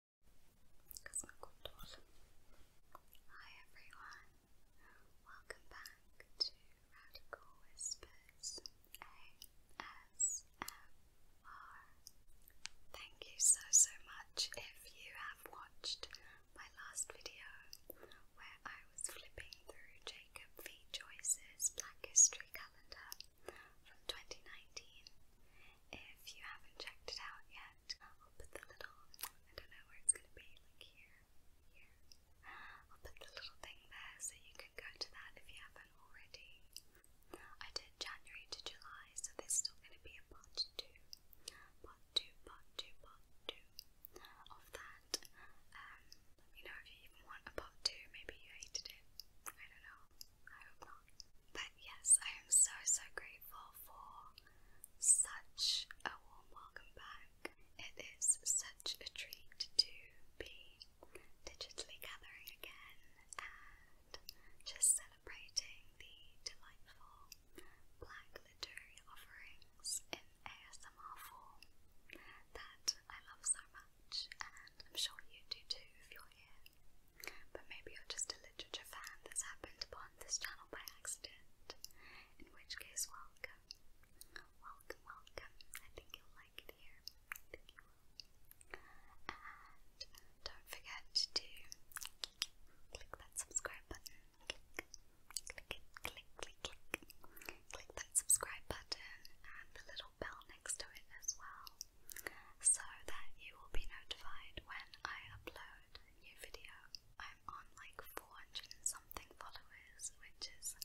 Hi everyone, welcome back to Radical Whispers Thank you so so much if you have watched my last video where I was flipping through Jacob V. Joyce's Black History Calendar from 2019. If you haven't checked it out yet, I'll put the little, I don't know where it's going to be, like here, here. I'll put the little thing there so you can go to that if you haven't already. I did January to July, so there's still going to be a part two. Part two, part two, part two of that. let um, me know if you even want a part two. Maybe you hated it. I don't know. I hope not. But yes, I am so so grateful for such a warm welcome back. It is such a treat to be digitally gathering again and just celebrating the delightful black literary offerings in ASMR form that I love so much, and I'm sure you do too if you're here. But maybe you're just a literature fan that's happened upon this channel by accident. In which case, welcome. Welcome, welcome. I think you'll like it here. And uh, don't forget to click that subscribe button. Click, click it, click, click, click. Click that subscribe button and the little bell next to it as well so that you will be notified when I upload new video. I'm on like 400 something followers, which is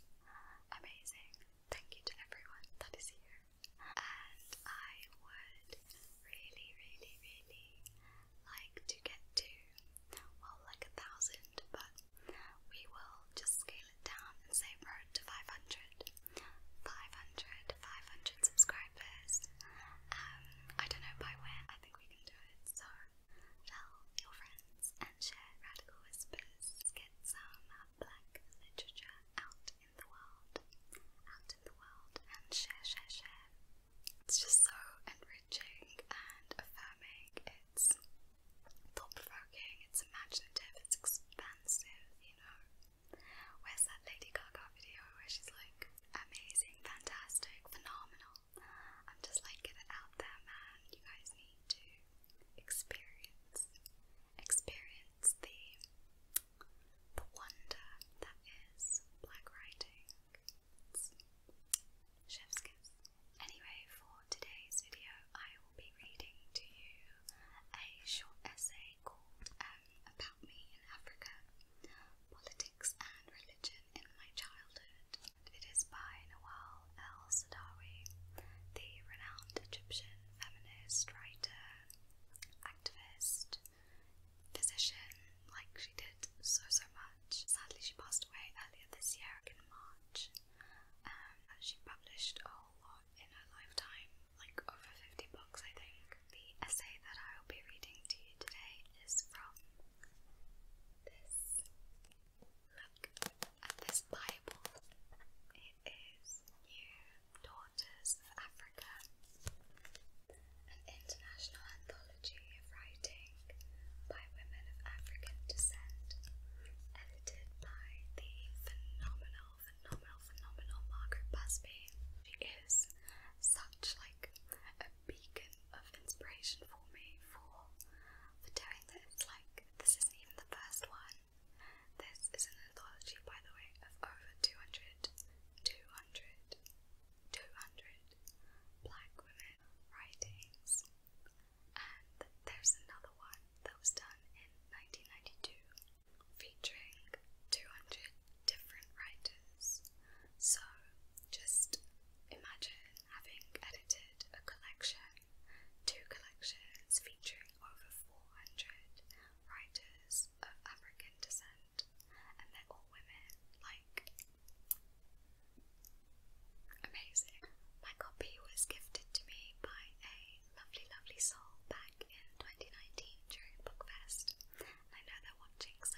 amazing. Thank you to everyone that is here. And I would really, really, really like to get to, well, like a thousand, but we will just scale it down and say road to 500. 500, 500 subscribers subscribers. Um, I don't know by when, I think we can do it. So tell your friends and share Radical Whispers. Get some black literature out in the world. Out in the world and share, share, share. It's just so enriching and affirming. It's thought provoking, it's imaginative, it's expansive, you know. Where's that Lady Gaga video where she's like, amazing, fantastic, phenomenal? I'm just like, get it out there, man. You guys need to experience, experience the, the wonder that is black writing. It's chef's kiss. Anyway, for today's video, I will be reading to you a short essay called um, About Me in Africa Politics and Religion in My Childhood. It is by Nawal El Sadawi, the renowned Egyptian feminist, writer, activist, physician, like she did so, so much. Sadly, she passed away earlier this year in March. Um, she published a whole lot in her lifetime, like over 50 books, I think. The essay that I will be reading to you today is from this look at this Bible. It is Daughters of Africa, an international anthology of writing by women of African descent, edited by the phenomenal, phenomenal, phenomenal Margaret Busby. She is such like a beacon of inspiration for me for doing this. Like this isn't even the first one. This is an anthology, by the way, of over 200, black women writings. And there's another one that was done in 1992 featuring 200 different writers. So just imagine having edited a collection, two collections featuring over 400 writers of African descent, and they're all women, like amazing. My copy was gifted to me by a lovely, lovely soul back in 2019 during Bookfest, I know they're watching, so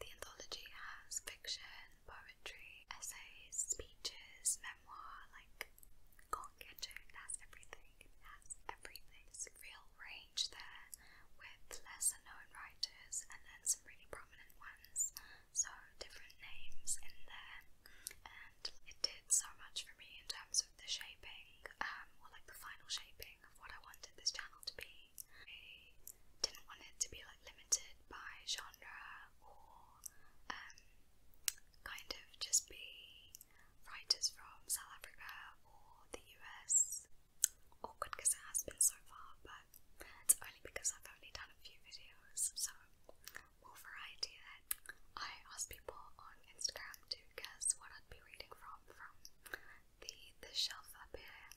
The anthology has fiction, poetry, essays, speeches, memoir, like, can it, has everything, it has everything. real range there with lesser known writers and then some really prominent ones, so different names in there, and it did so much for me in terms of the shaping um, or like the final shaping of what I wanted this channel to be. I didn't want it to be like limited by genre or um, kind of just be writers from South Africa or the US. Awkward because it has been so far, but it's only because I've only done a few videos, so more variety I asked people on Instagram to guess what I'd be be reading from from the the shelf up here,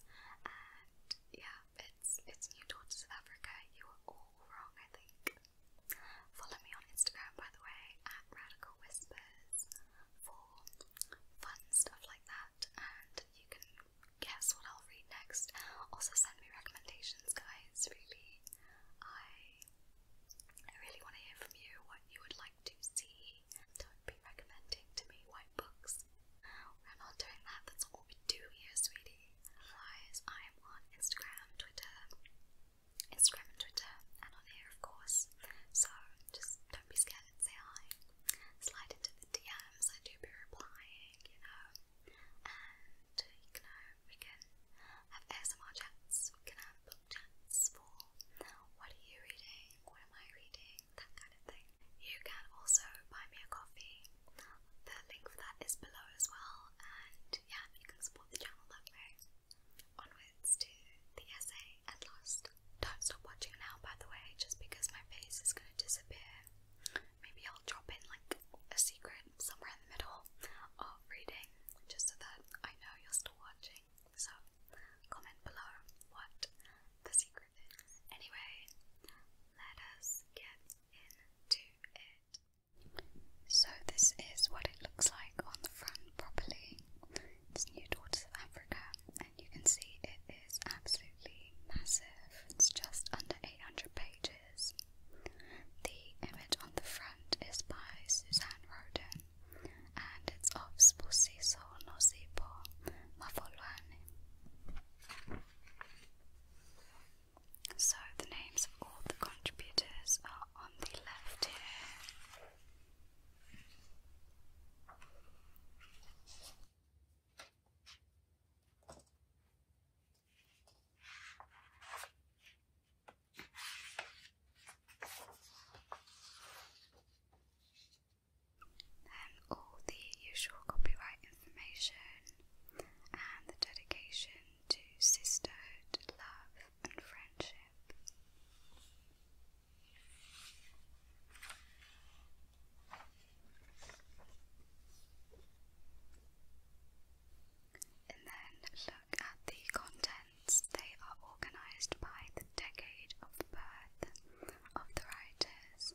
and yeah, it's it's New Daughters of Africa. You are all wrong, I think. Follow me on Instagram, by the way, at Radical Whispers for fun stuff like that, and you can guess what I'll read next. Also, send me recommendations, guys. Really, I I really want to hear from you what you would like to see. Don't be recommending to me white books. We're not doing that, that's all we do here, sweetie. Otherwise, I am on Instagram, Twitter, Instagram and Twitter, and on here, of course. So just don't be scared say hi. Slide into the DMs, I do be replying, you know. And, you know, we can have ASMR chats, we can have book chats for what are you reading? What am I reading? That kind of thing. You can also buy me a coffee. The link for that is below as well. And yeah, you can support the channel that way. Onwards to the essay at last. Don't stop watching now, by the way, just because my face is going to disappear. Maybe I'll drop in like a secret somewhere in the middle of reading, just so that I know you're still watching. So, comment below what the secret is. Anyway, let us get into it. So, this is what it looks like on the front properly. It's New Daughters of Africa, and you can see it is absolutely massive. It's just under 800 pages. The image on the front is by Suzanne Roden, and its of no Nosipo Mafolwane. So the names of all the contributors are on the left here. Then all the usual copyright information and the dedication to sisterhood, love, and friendship. And then look at the content they are organized by the decade of birth of the writers,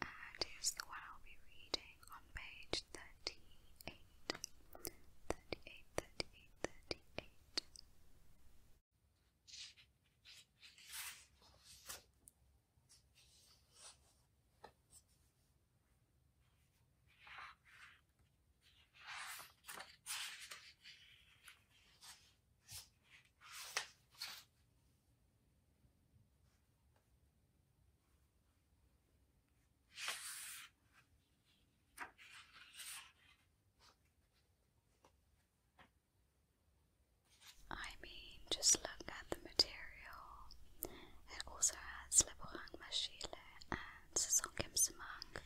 and it's the one I'll be reading on page 38. 38, 38, I mean, just look at the material. It also has Le Bourang Machile and Saison Kimsamang,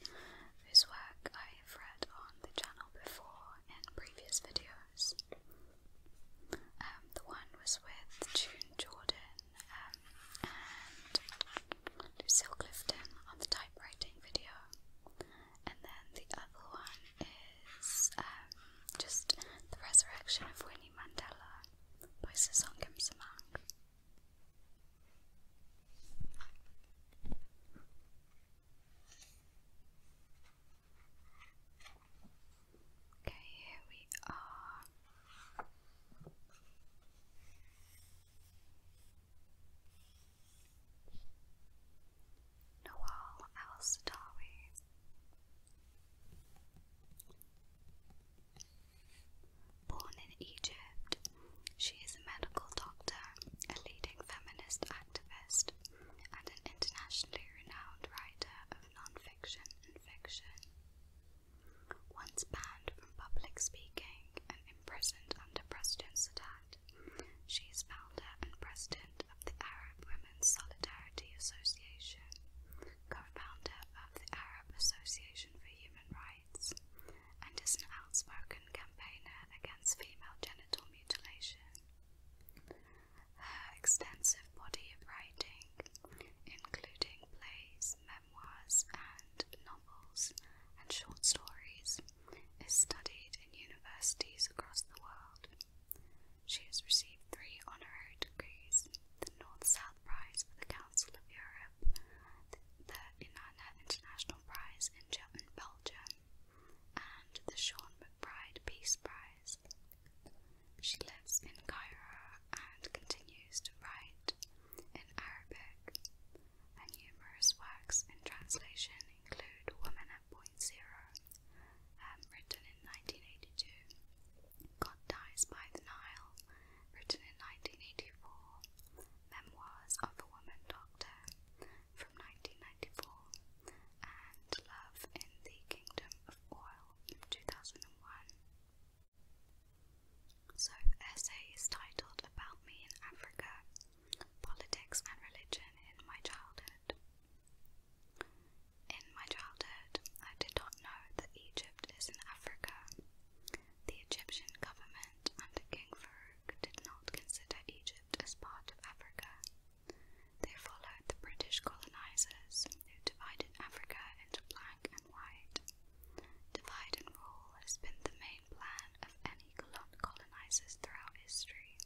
whose work I have read on the channel before in previous videos. Um, the one was with June Jordan um, and Lucille Clifton on the typewriting video, and then the other one is um, just The Resurrection of Winnie Mandela by Sasongkhem Samang. Okay, here we are. Nawal Al Sadawi. Born in Egypt she is a medical doctor, a leading feminist activist, and an internationally renowned writer of nonfiction and fiction. Once banned from public speaking and imprisoned under President Sadat, she is founder and president of the Arab Women's Solidarity Association, co founder of the Arab Association for Human Rights, and is an outspoken campaigner against female genital mutilation. Her extensive body of writing, including plays, memoirs, and novels and short stories, is studied in universities across the world. She has received three honorary degrees the North South Prize for the Council of Europe, the Inanna International Prize in German Belgium, and the Sean McBride Peace Prize. She lives in Cairo and continues to write in Arabic. Her numerous works in translation include Woman at Point Zero, um, written in 1982, God Dies by the Nile, written in 1984, Memoirs of a Woman Doctor, from 1994 and Love in the Kingdom of Oil 2001. So the essay is titled About Me in Africa, Politics and Religion in My Childhood. In my childhood, I did not know that Egypt is in Africa. The Egyptian government under King Farouk did not consider Egypt as part of Africa. They followed the British colonizers who divided Africa into black and white. Divide and rule has been the main plan of any colonizers throughout history.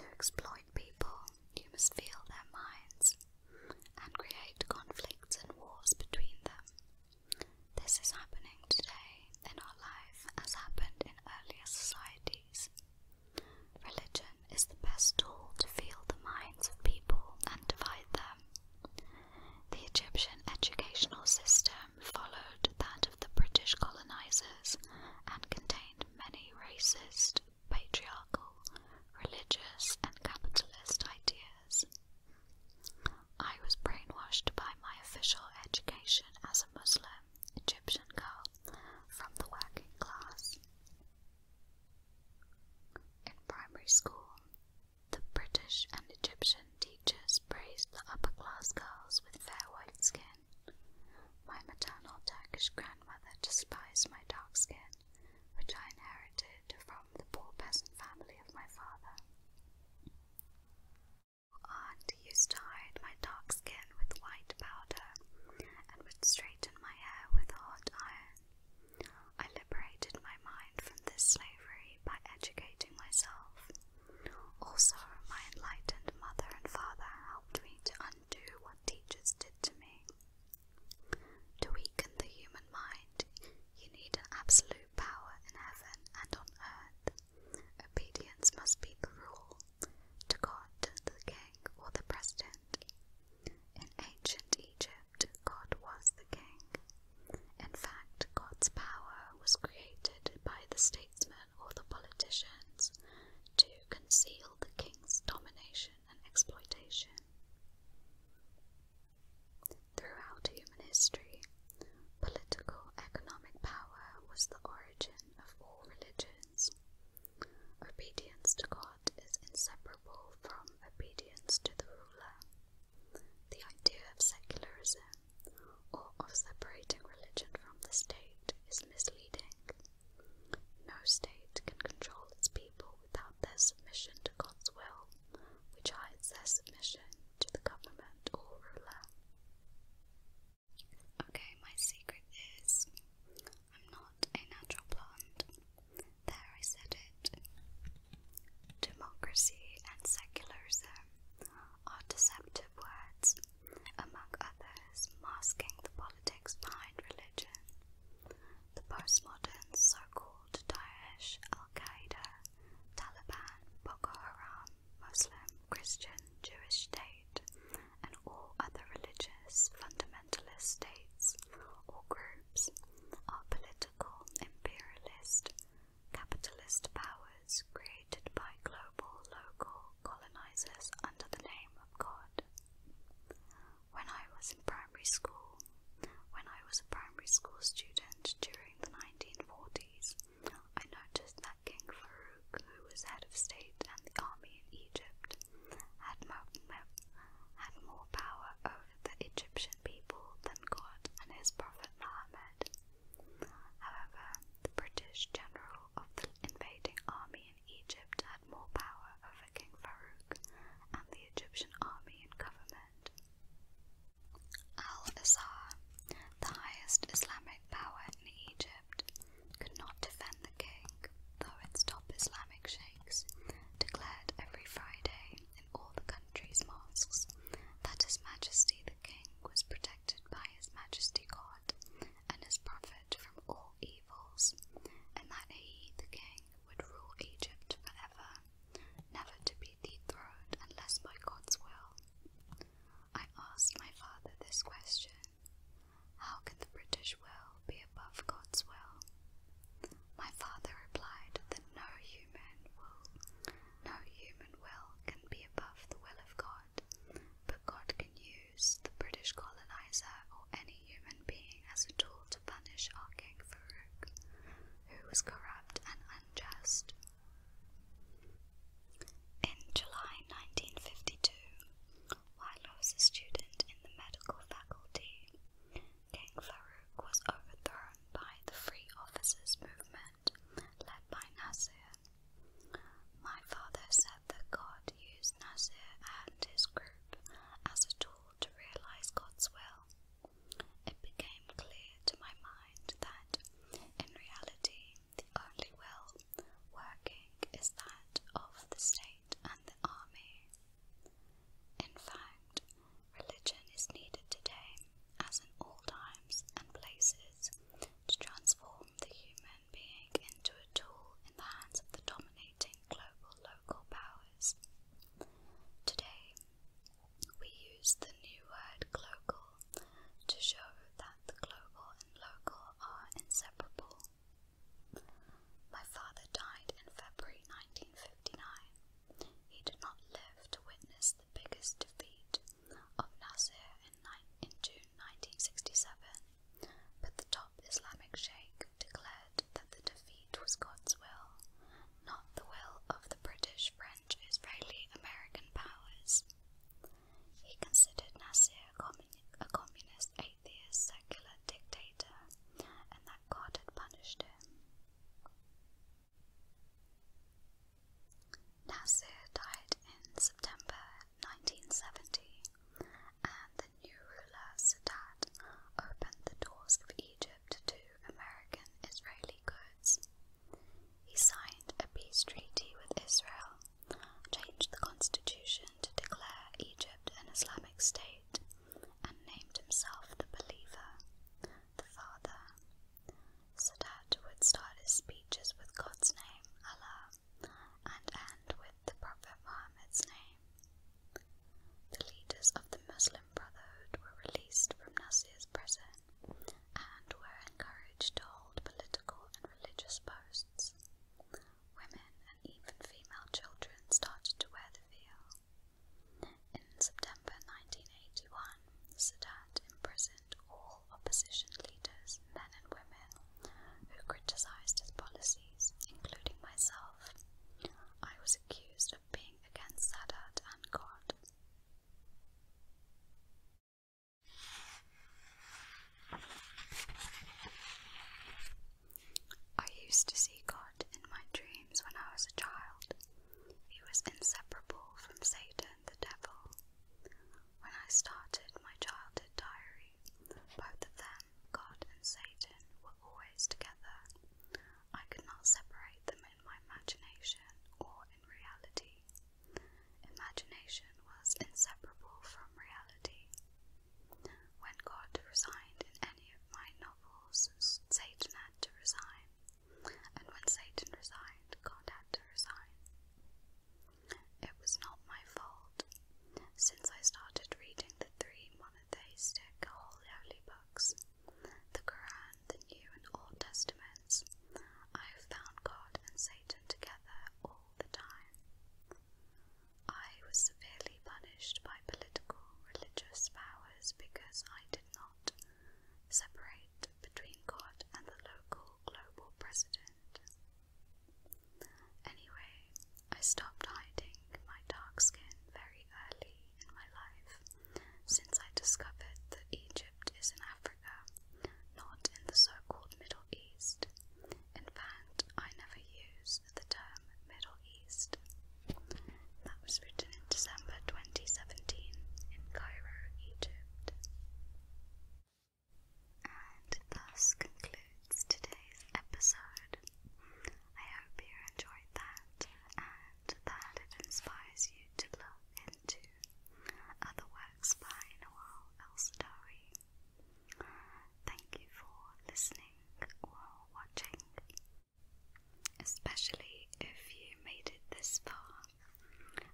To exploit people, you must feel their minds and create conflicts and wars between them. This is happening today in our life as happened in earlier societies. Religion is the best tool to feel the minds of people and divide them. The Egyptian educational system followed that of the British colonizers and contained many racist, patriarchal, religious, and capitalist ideas. I was brainwashed by my official education as a. Muslim Egyptian girl from the working class. In primary school, the British and Egyptian teachers praised the upper class girls with fair white skin. My maternal Turkish grandmother despised my dark skin, which I inherited from the poor peasant family of my father. Aunt used to my dark skin with white powder and would straighten my hair with hot iron. I liberated my mind from this slavery by educating myself. Also, my enlightened mother and father helped me to undo what teachers did to me. To weaken the human mind, you need an absolute power in heaven and on earth. Obedience must be the rule to God, the king, or the president. In ancient Egypt, God was the king. In fact, God's power was created by the statesmen or the politicians to conceal the king's domination and exploitation. Throughout human history, Political economic power was the origin of all religions. Obedience to God is inseparable from obedience to the ruler. The idea of secularism, or of separating religion from the state, is misleading. No state can control its people without their submission to God's will, which hides their submission to the government or ruler. Okay, my secret is I'm not a natural plant. There, it. Democracy and secularism are deceptive words, among others, masking the politics behind religion. The postmodern so called Daesh, Al Qaeda, Taliban, Boko Haram, Muslim, Christian, Jewish state, and all other religious fundamentalist states or groups are political, imperialist, capitalist powers created by global, local colonizers under the name of God. When I was in primary school, when I was a primary school student during the 1940s, I noticed that King Farouk, who was head of state and the army in Egypt, had more power over the Egyptian people than God and his prophet Muhammad. However, the British general of the invading army in Egypt had more power over King Farouk and the Egyptian army and government. Al Azhar, the highest Islamic power in Egypt could not defend the king, though its top Islamic sheikhs declared every Friday in all the country's mosques that His Majesty the King was protected by His Majesty God and His Prophet from all evils, and that he, the king, would rule Egypt forever, never to be dethroned unless by God's will. I asked my father this question How can the British will be above God's will? My father replied that no human will, no human will can be above the will of God, but God can use the British colonizer or any human being as a tool to punish our king Farouk, who was corrupt and unjust. In July 1952, while I was a student in the medical faculty, King Farouk was overthrown by the Free Officers Movement led by Nasser. My father said that God used Nasser and his group as a tool to realize God's will. It became clear to my mind that, in reality, the only will working is that of the state and the army. In fact, religion is needed today, as in all times and places, to transform the human being into a tool in the hands of the dominating global local powers. Today, we use the new word global to show that the global and local are inseparable. My father died in February 1959. He did not live to witness the biggest defeat of Nasser in, June 1967, but the top Islamic sheikh declared that the defeat was God's will, not the will of the British friend israeli american powers. He considered Nasser a, a communist, atheist, secular dictator, and that God had punished him. Nasser died in September 1970, and the new ruler Sadat opened the doors of Egypt to American Israeli goods. He signed a peace treaty with Israel, changed the constitution to declare Egypt an Islamic state, and named himself the Believer, the Father. Sadat would start his speeches with God's name, Allah, and end with the Prophet Muhammad's name. The leaders of the Muslim Brotherhood were released from Nasir's prison and were encouraged to hold political and religious posts. Women and even female children started to wear the veil. In September 1981, Sadat imprisoned all opposition leaders, men and women, who criticized his policies, including myself. I was accused of being against Sadat and God. I used to see God in my dreams when I was a child. He was inseparable from Satan, the devil. When I started my childhood diary, both of them, God and Satan, were always together. I could not separate them in my imagination or in reality. Imagination was inseparable from reality. When God resigned in any of my novels, Satan had to resign, and when Satan resigned, God had to resign. It was not my fault. Since I started reading the three monotheistic holy books, the Quran, the New and Old Testament, I found God and Satan together all the time. I was severely punished by political religious powers because I did not separate between God and the local global president. Anyway, I stopped hiding my dark skin very early in my life since I discovered that Egypt Egypt is in Africa, not in the so-called Middle East. In fact, I never use the term Middle East. That was written in December 2017 in Cairo, Egypt. And thus concludes today's episode. I hope you enjoyed that and that it inspires you to look into other works by Noel Elstari. Thank you for listening or watching, especially if you made it this far.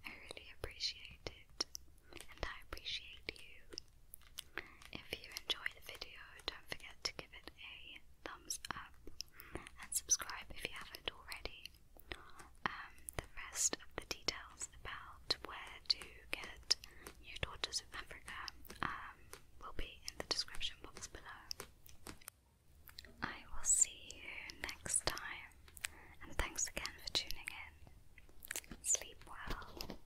I really appreciate it, and I appreciate you. If you enjoy the video, don't forget to give it a thumbs up and subscribe if you haven't already. Um, the rest of the details about where to get New Daughters of Africa um, will be in the description box below. I will see you next time, and thanks again for tuning in. Sleep well.